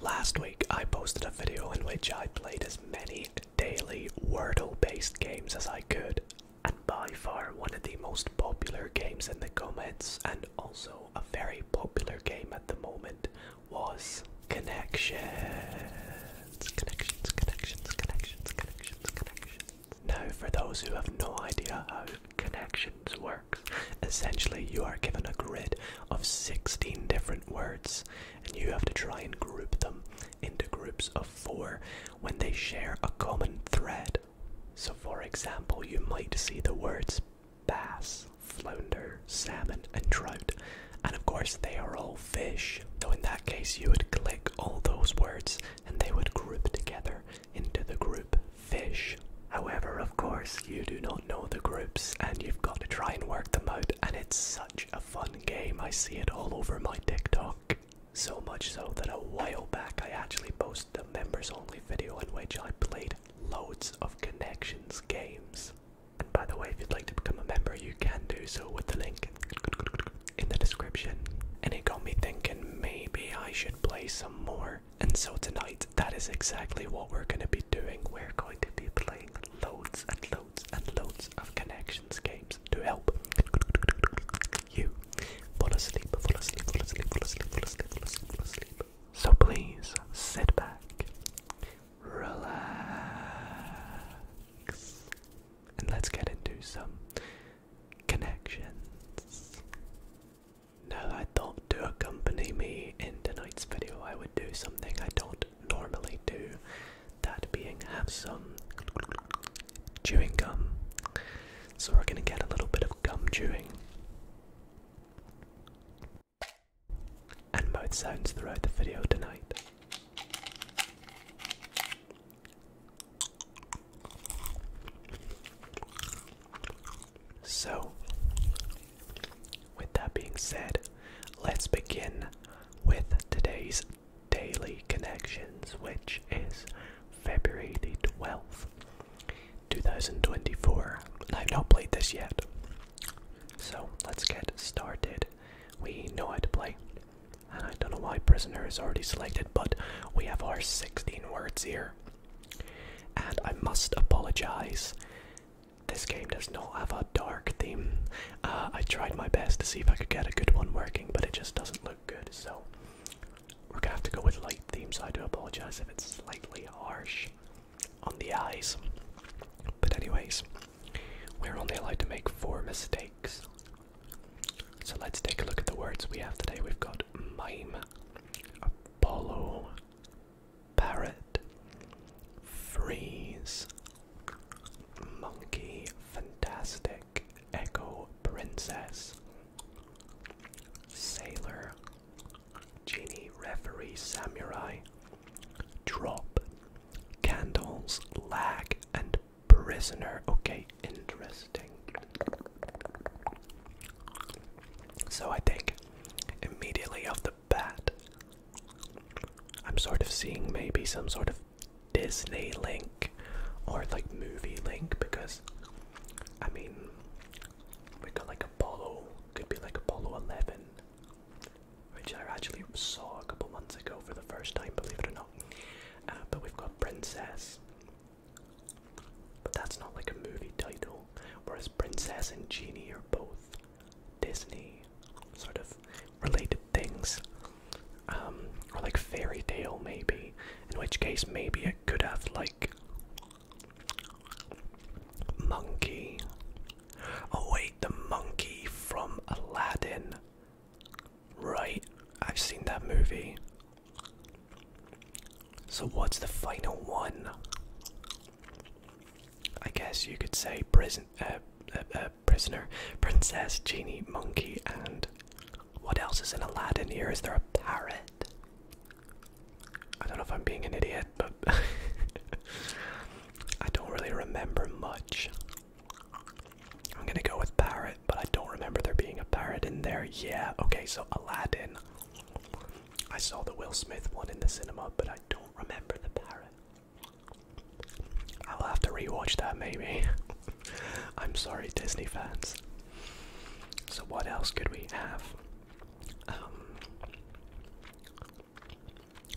Last week I posted a video in which I played as many daily Wordle based games as I could, and by far one of the most popular games in the comments, and also a very popular game at the moment, was Connections. Now, for those who have no idea how Connections works, essentially you are given a grid of 16 different words, and you have to try and group them into groups of four when they share a common thread. So, for example, you might see the words bass, flounder, salmon, and trout, and of course, they are all fish. So, in that case, you would click all those words and they would group together into the group fish. However, of course, you do not know the groups and you've got to try and work them out. And it's such a fun game. I see it all over my TikTok. So much so that a while back I actually posted a members only video in which I played loads of Connections games. And by the way, if you'd like to become a member, you can do so with the link in the description. And it got me thinking maybe I should play some more. And so tonight, that is exactly what we're going to be doing. We're going to be playing loads and loads and loads of connections games to help you fall asleep, fall asleep, fall asleep, fall asleep, fall asleep, fall asleep. So please sit back, relax, and let's get into some connections. Now I thought to accompany me in tonight's video I would do something I don't normally do, that being have some chewing gum. So we're going to get a little bit of gum chewing and both sounds throughout the video tonight. So, with that being said, let's begin with today's daily connections, which is February the 12th, 2024. I've not played this yet. So let's get started. We know how to play. And I don't know why prisoner is already selected, but we have our 16 words here. And I must apologize this game does not have a dark theme. Uh, I tried my best to see if I could get a good one working, but it just doesn't look good, so we're gonna have to go with light themes. I do apologize if it's slightly harsh on the eyes. But, anyways, we're only allowed to make four mistakes. So, let's take a look at the words we have today. We've got mime, Apollo, parrot, freeze, monkey, fantastic, echo, princess, sailor, genie, referee, samurai, drop, candles, lag, and prisoner. Okay, interesting. So I think immediately off the bat, I'm sort of seeing maybe some sort of Disney link or like movie link because I mean we got like Apollo, could be like Apollo 11, which I actually saw a couple months ago for the first time, believe it or not. Uh, but we've got Princess, but that's not like a movie title, whereas Princess and Genie are both Disney sort of related things, um, or like fairy tale maybe. In which case, maybe it could have like monkey. Oh wait, the monkey from Aladdin. Right, I've seen that movie. So what's the final one? I guess you could say uh, uh, uh, prisoner, princess, genie, monkey, and what else is in Aladdin here? Is there a parrot? I don't know if I'm being an idiot, but I don't really remember much. I'm gonna go with parrot, but I don't remember there being a parrot in there. Yeah, okay, so Aladdin. I saw the Will Smith one in the cinema, but I don't remember the parrot. I'll have to rewatch that maybe. I'm sorry, Disney fans. So, what else could we have? Um,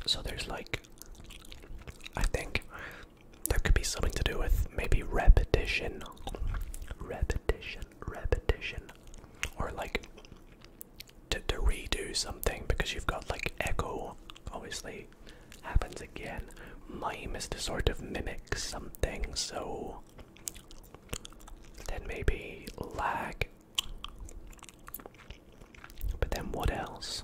so, there's like, I think there could be something to do with maybe repetition, repetition, repetition, or like to, to redo something because you've got like echo obviously happens again mime is to sort of mimic something so then maybe lag but then what else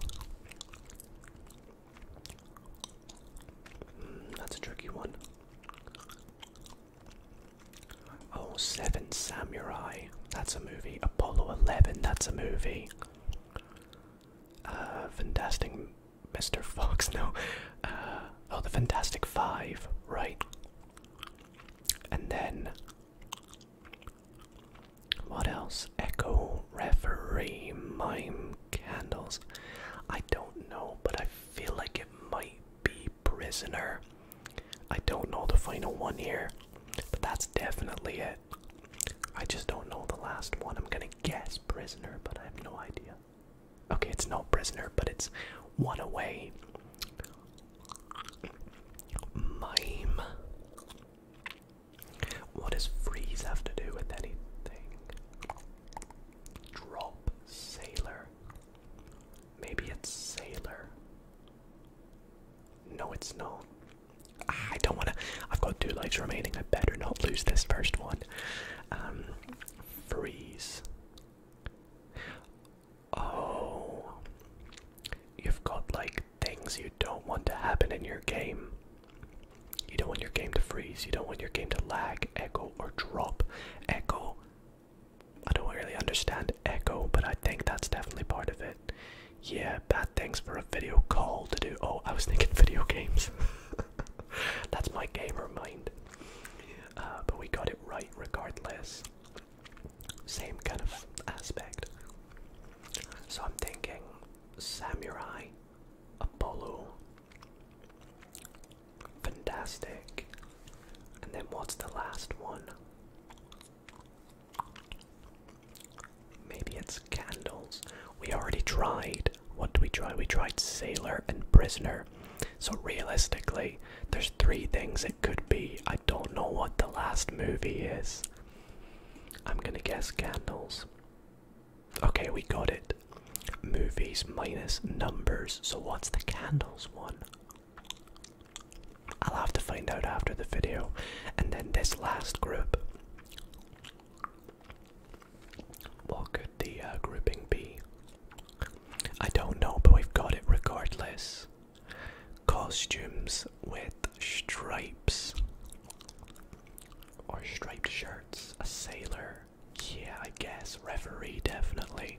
mm, that's a tricky one Oh, Seven Samurai, that's a movie. Apollo 11, that's a movie. Uh, Fantastic Mr. Fox, no. Uh, oh, the Fantastic Five, right? And then. What else? Echo, Referee, Mime, Candles. I don't know, but I feel like it might be Prisoner. I don't know the final one here. But that's definitely it. I just don't know the last one. I'm gonna guess prisoner, but I have no idea. Okay, it's not prisoner, but it's one away. Mime. What does freeze have to do with anything? Drop sailor. Maybe it's sailor. No, it's not. I don't want to. I've got two lives remaining. I better not lose this first one. Um, freeze. Oh, you've got like things you don't want to happen in your game. You don't want your game to freeze. You don't want your game to lag, echo, or drop. Echo. I don't really understand echo, but I think that's definitely part of it. Yeah, bad things for a video call to do. Oh, I was thinking video games. That's my gamer mind. Uh, but we got it right regardless. Same kind of aspect. So I'm thinking Samurai, Apollo, Fantastic, and then what's the last one? Maybe it's candles. We already tried. What do we try? We tried sailor and prisoner. So realistically, there's three things it could be. I don't know what the last movie is. I'm gonna guess candles. Okay, we got it. Movies minus numbers. So what's the candles one? I'll have to find out after the video. And then this last group what could the uh, grouping be? I don't know, but we've got it regardless. Costumes with stripes or striped shirts. A sailor, yeah, I guess. Referee, definitely.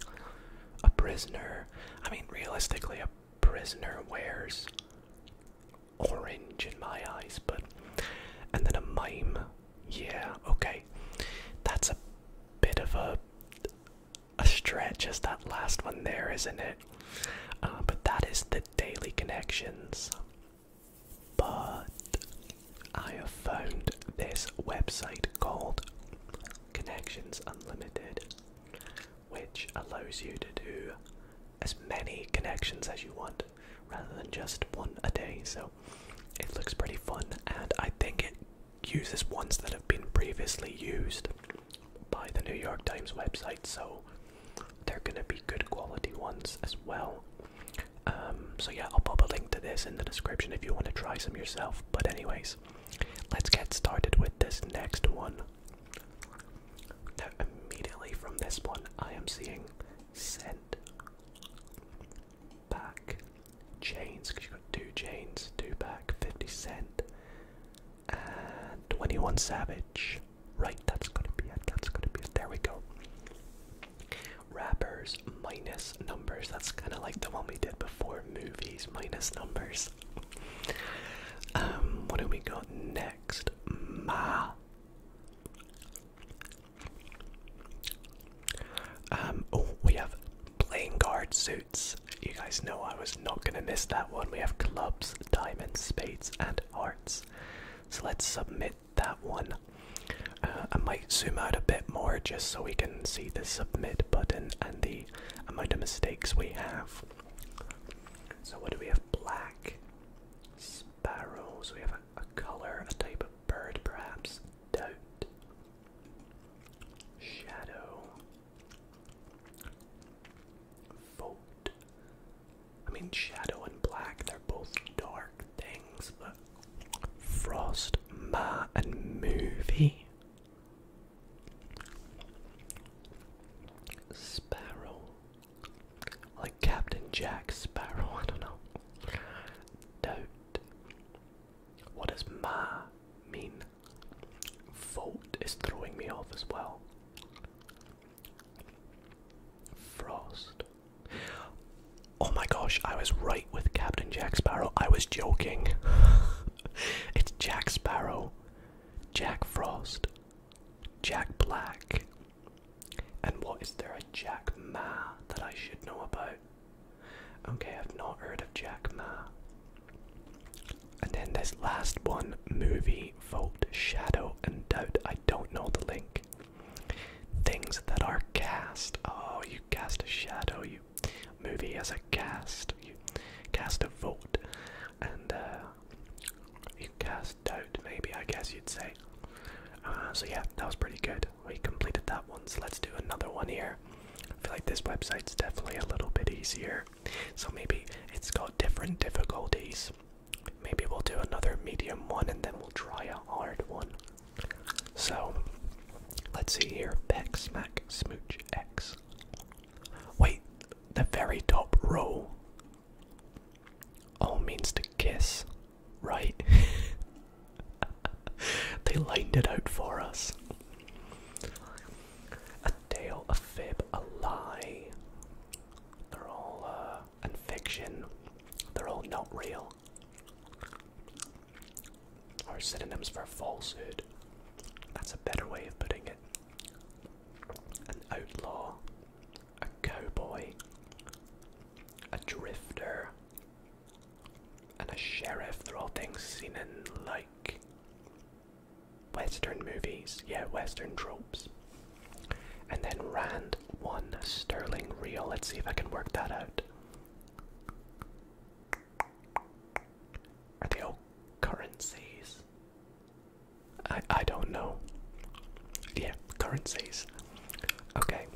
A prisoner. I mean, realistically, a prisoner wears orange in my eyes, but. And then a mime. Yeah, okay. That's a bit of a. A stretch as that last one there, isn't it? Uh, but that is the daily connections. But I have found this website called Connections Unlimited, which allows you to do as many connections as you want rather than just one a day. So it looks pretty fun, and I think it uses ones that have been previously used by the New York Times website, so they're gonna be good quality ones as well. Um, so yeah, I'll pop a link to this in the description if you want to try some yourself. But anyways, let's get started with this next one, now, immediately from this one, I am seeing send back chains because you got two chains, two back, 50 cent, and 21 Savage. Right, that's gonna be it. That's gonna be it. There we go. Rappers minus numbers. That's kind of like the one we did before. Movies minus numbers. um, what do we got next? Ma um, oh, we have playing guard suits. You guys know I was not gonna miss that one. We have clubs, diamonds, spades, and hearts. So let's submit that one. Uh, I might zoom out a bit more just so we can see the submit button and the amount of mistakes we have. So, what do we have? Black. Sparrow, we have a, colour, a type of bird perhaps. Doubt. Shadow. Vote. I mean, shadow and black, they're both dark things, but. Frost, Ma, and Movie. Sparrow. Like Captain Jack Sparrow, I don't know. Doubt. What does ma mean? Fault is throwing me off as well. Frost. Oh my gosh, I was right with Captain Jack Sparrow. I was joking. it's Jack Sparrow, Jack Frost, Jack Black. And what is there a Jack Ma that I should know about? Okay, I've not heard of Jack Ma. And then this last one, movie, vote, shadow, and doubt. I don't know the link. Things that are cast. Oh, you cast a shadow. You movie as a cast. You cast a vote, and uh, you cast stout, maybe, I guess you'd say. Uh, so, yeah, that was pretty good. We completed that one, so let's do another one here. I feel like this website's definitely a little bit easier. So, maybe it's got different difficulties. Maybe we'll do another medium one and then we'll try a hard one. So, let's see here. Peck, smack, smooch, X. Wait, the very top row all means to kiss, right? they lined it out for us. A tale, a fib, a lie. They're all, and uh, fiction. They're all not real. Or synonyms for falsehood. That's a better way of putting it. An outlaw, a cowboy, a drifter, and a sheriff. They're all things seen in like Western movies, yeah, Western tropes. And then Rand one sterling real. Let's see if I can work that out. Are they all currencies? I, I don't know. Yeah, currencies. Okay.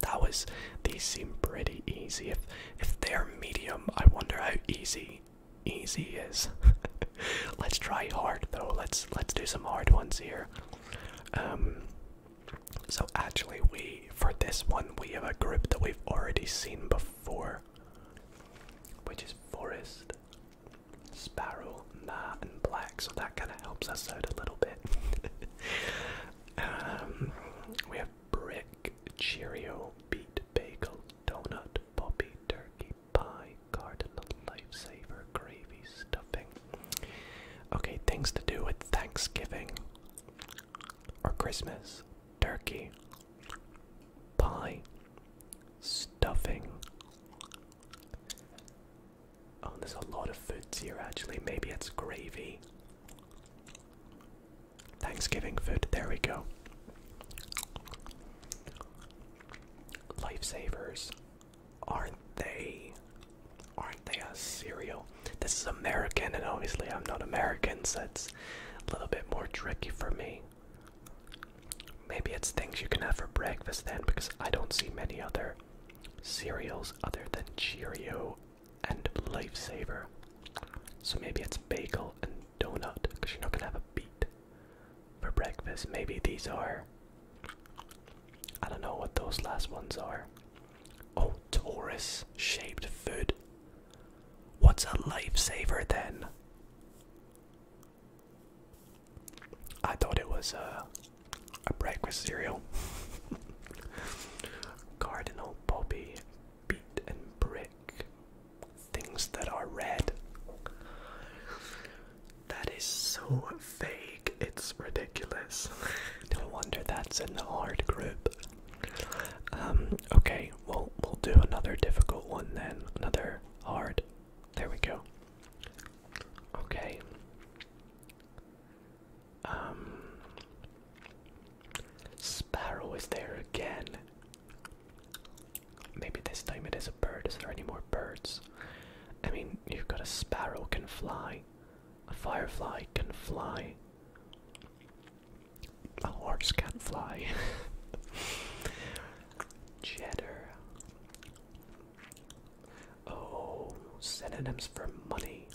That was these seem pretty easy. If if they're medium, I wonder how easy easy is. let's try hard though. Let's let's do some hard ones here. Um so actually we for this one we have a group that we've already seen before. Which is forest Sparrow, Ma, and Black, so that kind of helps us out a little bit. Um, we have Brick, Cheerio, Beat, Bagel, Donut, Poppy, Turkey, Pie, Cardinal, Lifesaver, Gravy, Stuffing. Okay, things to do with Thanksgiving or Christmas. Turkey, pie, stuffing, Oh, there's a lot of foods here actually. Maybe it's gravy. Thanksgiving food. There we go. Lifesavers. Aren't they? Aren't they a cereal? This is American, and obviously I'm not American, so it's a little bit more tricky for me. Maybe it's things you can have for breakfast then, because I don't see many other cereals other than Cheerio and Lifesaver. So maybe it's bagel and donut, because you're not gonna have a beat for breakfast. Maybe these are. I don't know what those last ones are. Oh, Taurus shaped food. What's a lifesaver then? I thought it was uh, a breakfast cereal. Cardinal Bobby, beet and brick, things that are red. That is so fake. it's ridiculous. no wonder that's in the hard group. Um, okay, well, we'll do another difficult one then. Another hard. There we go. Okay. Um Sparrow is there again. Maybe this time it is a bird. Is there any more birds? I mean, you've got a sparrow can fly, a firefly can fly, a horse can fly. Cheddar. Oh, synonyms for money.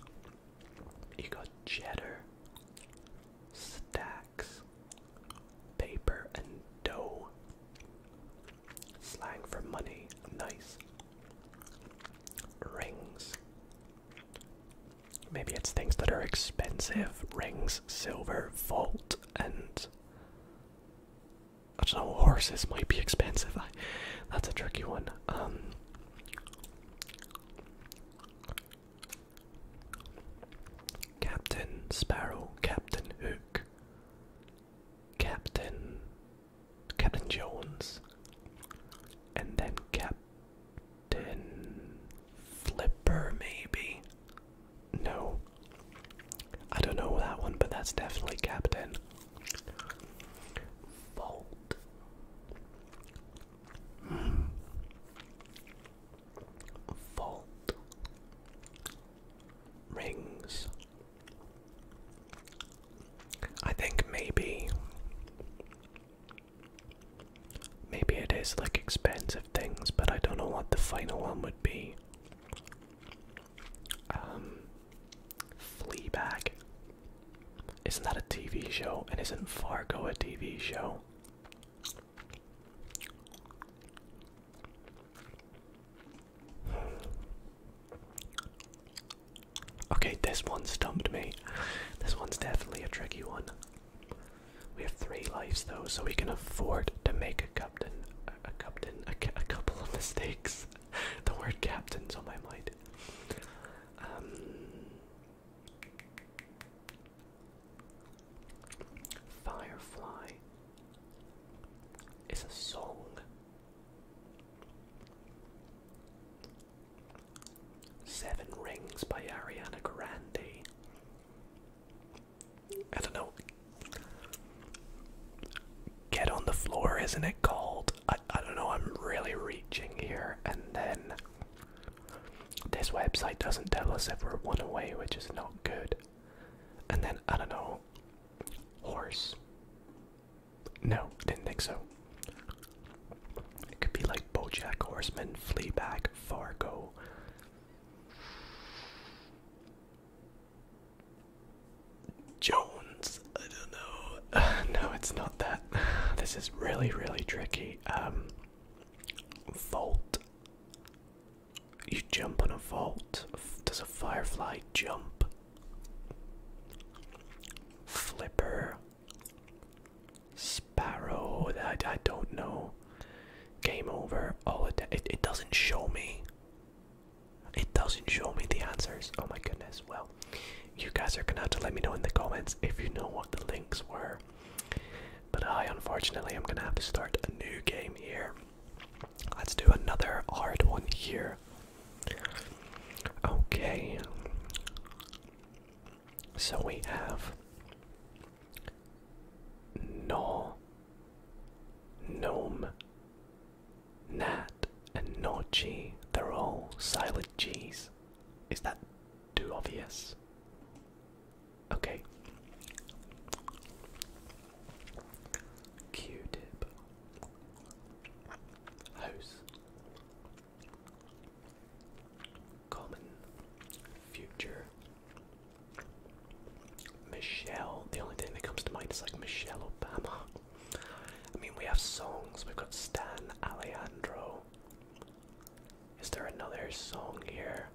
You got cheddar, stacks, paper, and dough. Slang for money, nice. Rings. Maybe it's things that are expensive. Rings, silver, vault, and I don't know, horses might be expensive. that's a tricky one. Um, Captain Sparrow, Captain Hook, Captain Captain Jones, and then Captain Flipper, maybe. No, I don't know that one, but that's definitely Captain. Fold. Mm. Rings. I think maybe. Maybe it is like expensive things, but I don't know what the final one would be. Um, Fleabag. Isn't that a TV show? And isn't Fargo a TV show? Okay, this one stumped me. This one's definitely a tricky one. We have three lives though, so we can afford to make a captain, a, captain, a couple of mistakes. the word captain's on my mind. Um, Firefly is a song. Seven Rings by Ariana Grande. I don't know. Get on the floor, isn't it called? I, I don't know, I'm really reaching here. And then this website doesn't tell us if we're one away, which is not good. And then, I don't know, horse. No, didn't think so. It could be like Bojack Horseman, Fleabag, Fargo. Jones. I don't know. no, it's not that. This is really, really tricky. Um, vault. You jump on a vault. Does a firefly jump? Flipper. Sparrow. I, I don't know. Game over. All it it doesn't show me. It doesn't show me the answers. Oh my goodness. Well, you guys are gonna have to let me know in the comments if you know what the links were. But I unfortunately am gonna have to start a new game here. Let's do another hard one here. Okay. So we have no gnome Nat and Nochi, they're all silent G's. Is that too obvious? Okay. Q tip. House. Common. Future. Michelle. The only thing that comes to mind is like Michelle Obama. I mean, we have songs. We've got Stan Alejandro. Is there another song here?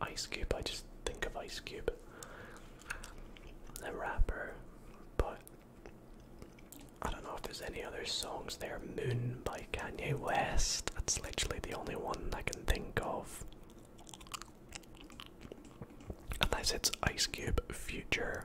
Ice Cube. I just think of Ice Cube, the rapper. But I don't know if there's any other songs there. Moon by Kanye West. That's literally the only one I can think of. Unless it's Ice Cube Future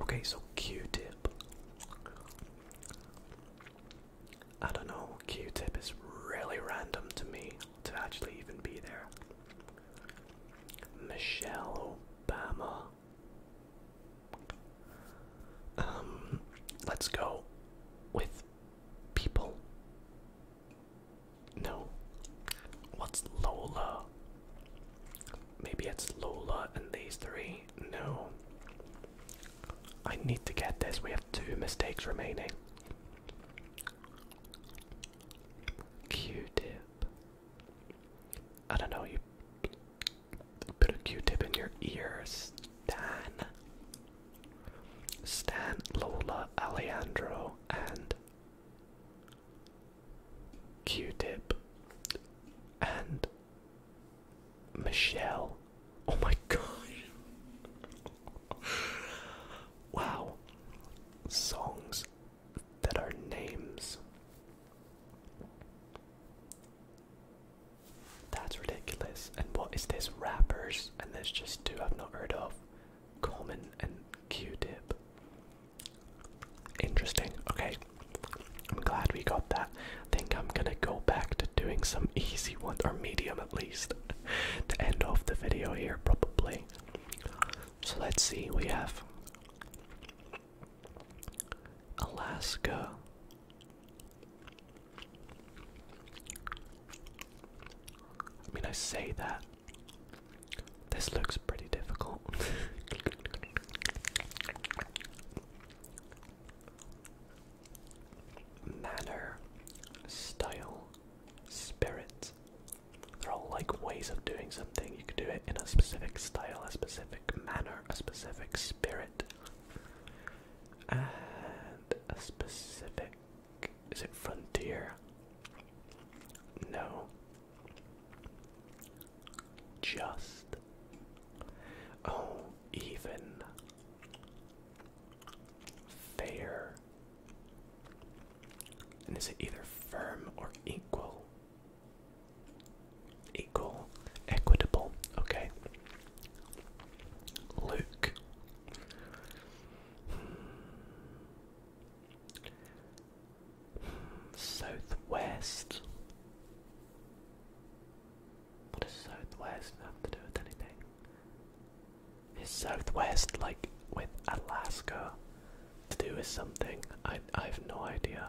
Okay, so Q-tip. I don't know, Q-tip is really random to me to actually even be there. Michelle Obama. Um, let's go with people. No. What's Lola? Maybe it's Lola and these three. No. I need to get this. We have two mistakes remaining. Q-tip. I don't know. You put a Q-tip in your ears. Stan. Stan, Lola, Alejandro, and Q-Tip, and Michelle. Oh my gosh! wow, songs that are names. That's ridiculous. And what is this? Rappers, and there's just two I've not heard of Common and Q Tip. Interesting. Okay. I'm glad we got that. think I'm gonna go back to doing some easy ones, or medium at least, to end off the video here, probably. So let's see, we have Alaska. I mean, I say that, this looks pretty difficult. Manner, style, spirit. They're all like ways of doing something. You could do it in a specific style, a specific manner, a specific spirit, and a specific. Is it frontier? No. Just. Oh, even. Fair. And is it either firm or equal? Equal. Equitable. Okay. Luke. Hmm. Southwest. What does Southwest have to do with anything? Is Southwest like with Alaska to do with something? I I have no idea.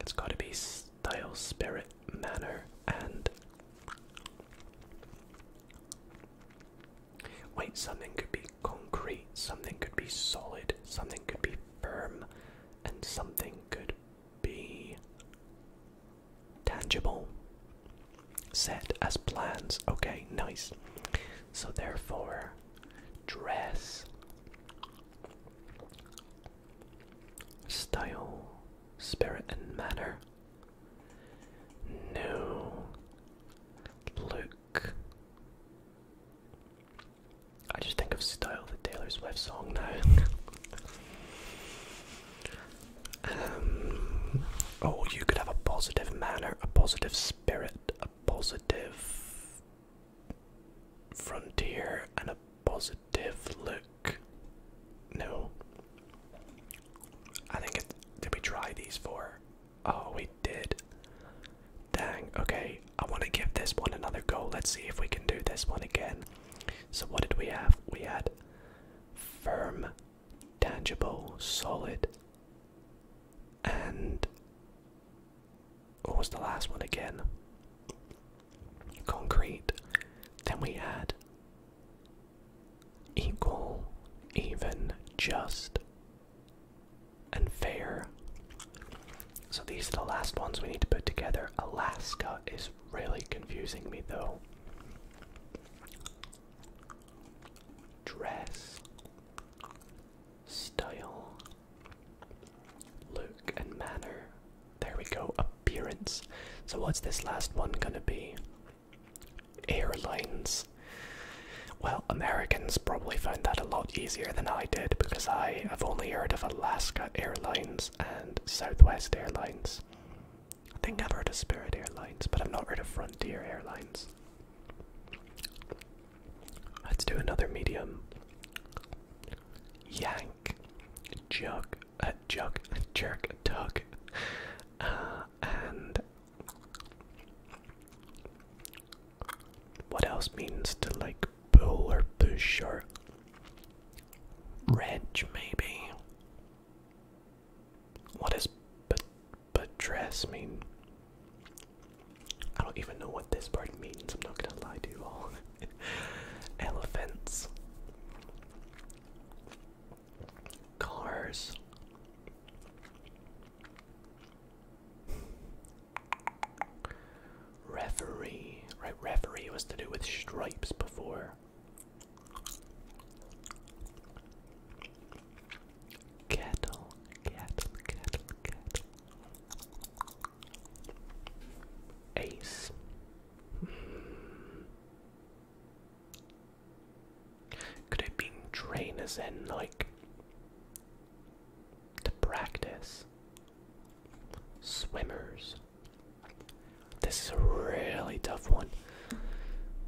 It's got to be style, spirit, manner, and wait. Something could be concrete, something could be solid, something could be firm, and something could be tangible. Set as plans. Okay, nice. So, therefore, dress, style, spirit, and manner. No. Look. I just think of style the Taylor Swift song now. Um, oh, you could have a positive manner, a positive spirit, a positive frontier, and a positive look. No. I think it, did we try these four? Oh, we did. Dang, okay. I want to give this one another go. Let's see if we can do this one again. So, what did we have? We had firm, tangible, solid, and what was the last one again? Concrete. Then we had equal, even, just, and fair. So these are the last ones we need to put together. Alaska is really confusing me though. Dress, style, look, and manner. There we go, appearance. So, what's this last one gonna be? Airlines. Well, Americans probably found that a lot easier than I did because I have only heard of Alaska Airlines and Southwest Airlines. I think I've heard of Spirit Airlines, but I've not heard of Frontier Airlines. Let's do another medium. Yank, jug, uh, jug, jerk, tug, uh, and what else means to like pull or push or wrench, maybe? What does but buttress mean? I don't even know what this part means, I'm not gonna lie to you all. Elephants. Cars. Referee. Right, referee was to do with stripes before. Kettle, kettle, kettle, kettle. Ace. Hmm. Could it be trainers and like to practice. Swimmers. This is a really tough one.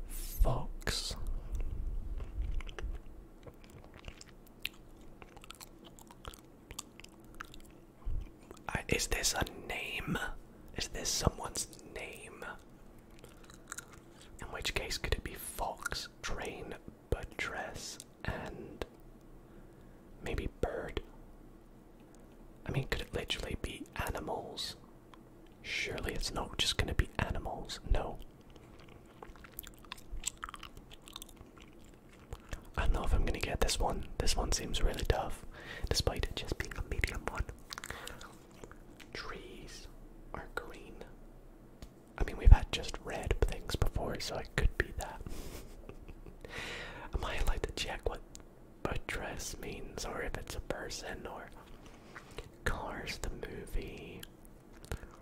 Fox. is this a name? Is this someone's name? In which case, could it be Fox Train Buttress and maybe bird. I mean, could it literally be animals? Surely it's not just going to be animals. No. I don't know if I'm going to get this one. This one seems really tough, despite it just being a medium one. Trees are green. I mean, we've had just red things before, so it could be that. I might like to check what buttress means, or if it's a person, or Cars the movie,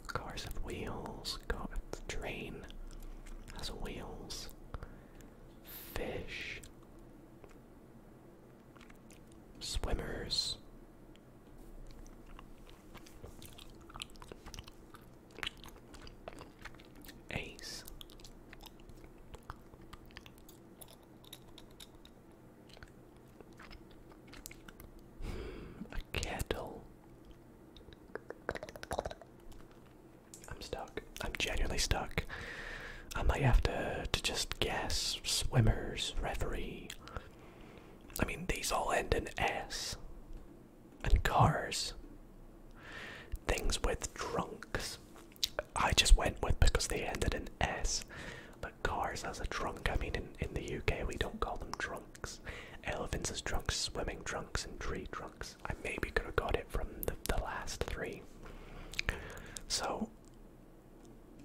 Cars with wheels, Cars the train has wheels, fish, swimmers. Ace. Hmm, a kettle. I'm stuck. I'm genuinely stuck. I might have to to just guess swimmers, referee. I mean, these all end in S and cars. Things with trunks. I just went with because they ended in S. But cars as a trunk, I mean, in, in the UK we don't call them trunks. Elephants as trunks, swimming trunks, and tree trunks. I maybe could have got it from the, the last three. So,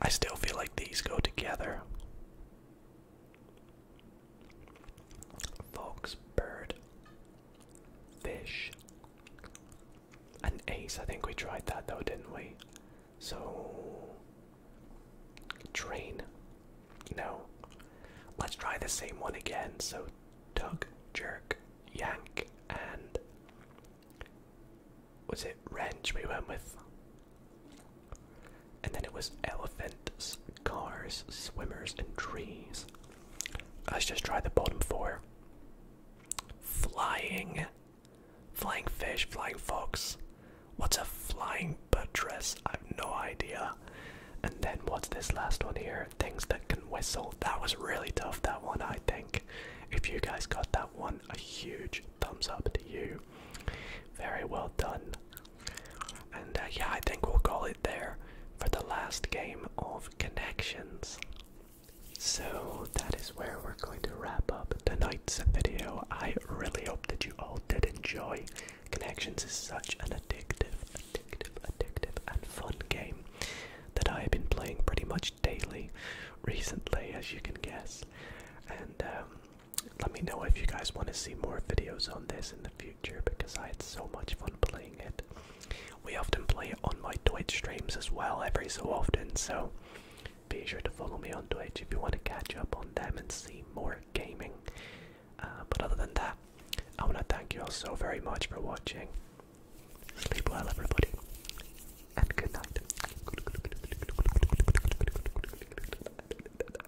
I still feel like these go together. Fox, bird, fish, and ace. I think we tried that though, didn't we? So, train. No. Let's try the same one again. So, tug, jerk, yank, and. Was it wrench we went with? and then it was elephants, cars, swimmers, and trees. Let's just try the bottom four. Flying. Flying fish, flying fox. What's a flying buttress? I have no idea. And then what's this last one here? Things that can whistle. That was really tough, that one, I think. If you guys got that one, a huge thumbs up to you. Very well done. And uh, yeah, I think we'll call it there for the last game of connections. So that is where we're going to wrap up tonight's video. I really hope that you all did enjoy. Connections is such an addictive, addictive, addictive, and fun game that I have been playing pretty much daily recently, as you can guess. And um, let me know if you guys want to see more videos on this and future because I had so much fun playing it. We often play it on my Twitch streams as well, every so often, so be sure to follow me on Twitch if you want to catch up on them and see more gaming. Uh, but other than that, I want to thank you all so very much for watching. Sleep well, everybody, and good night.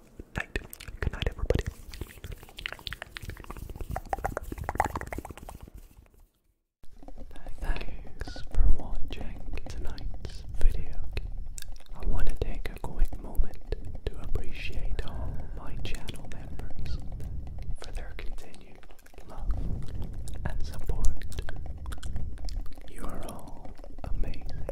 Good night, everybody. Thanks for watching tonight's video. I want to take a quick moment to appreciate all my channel members for their continued love and support. You are all amazing.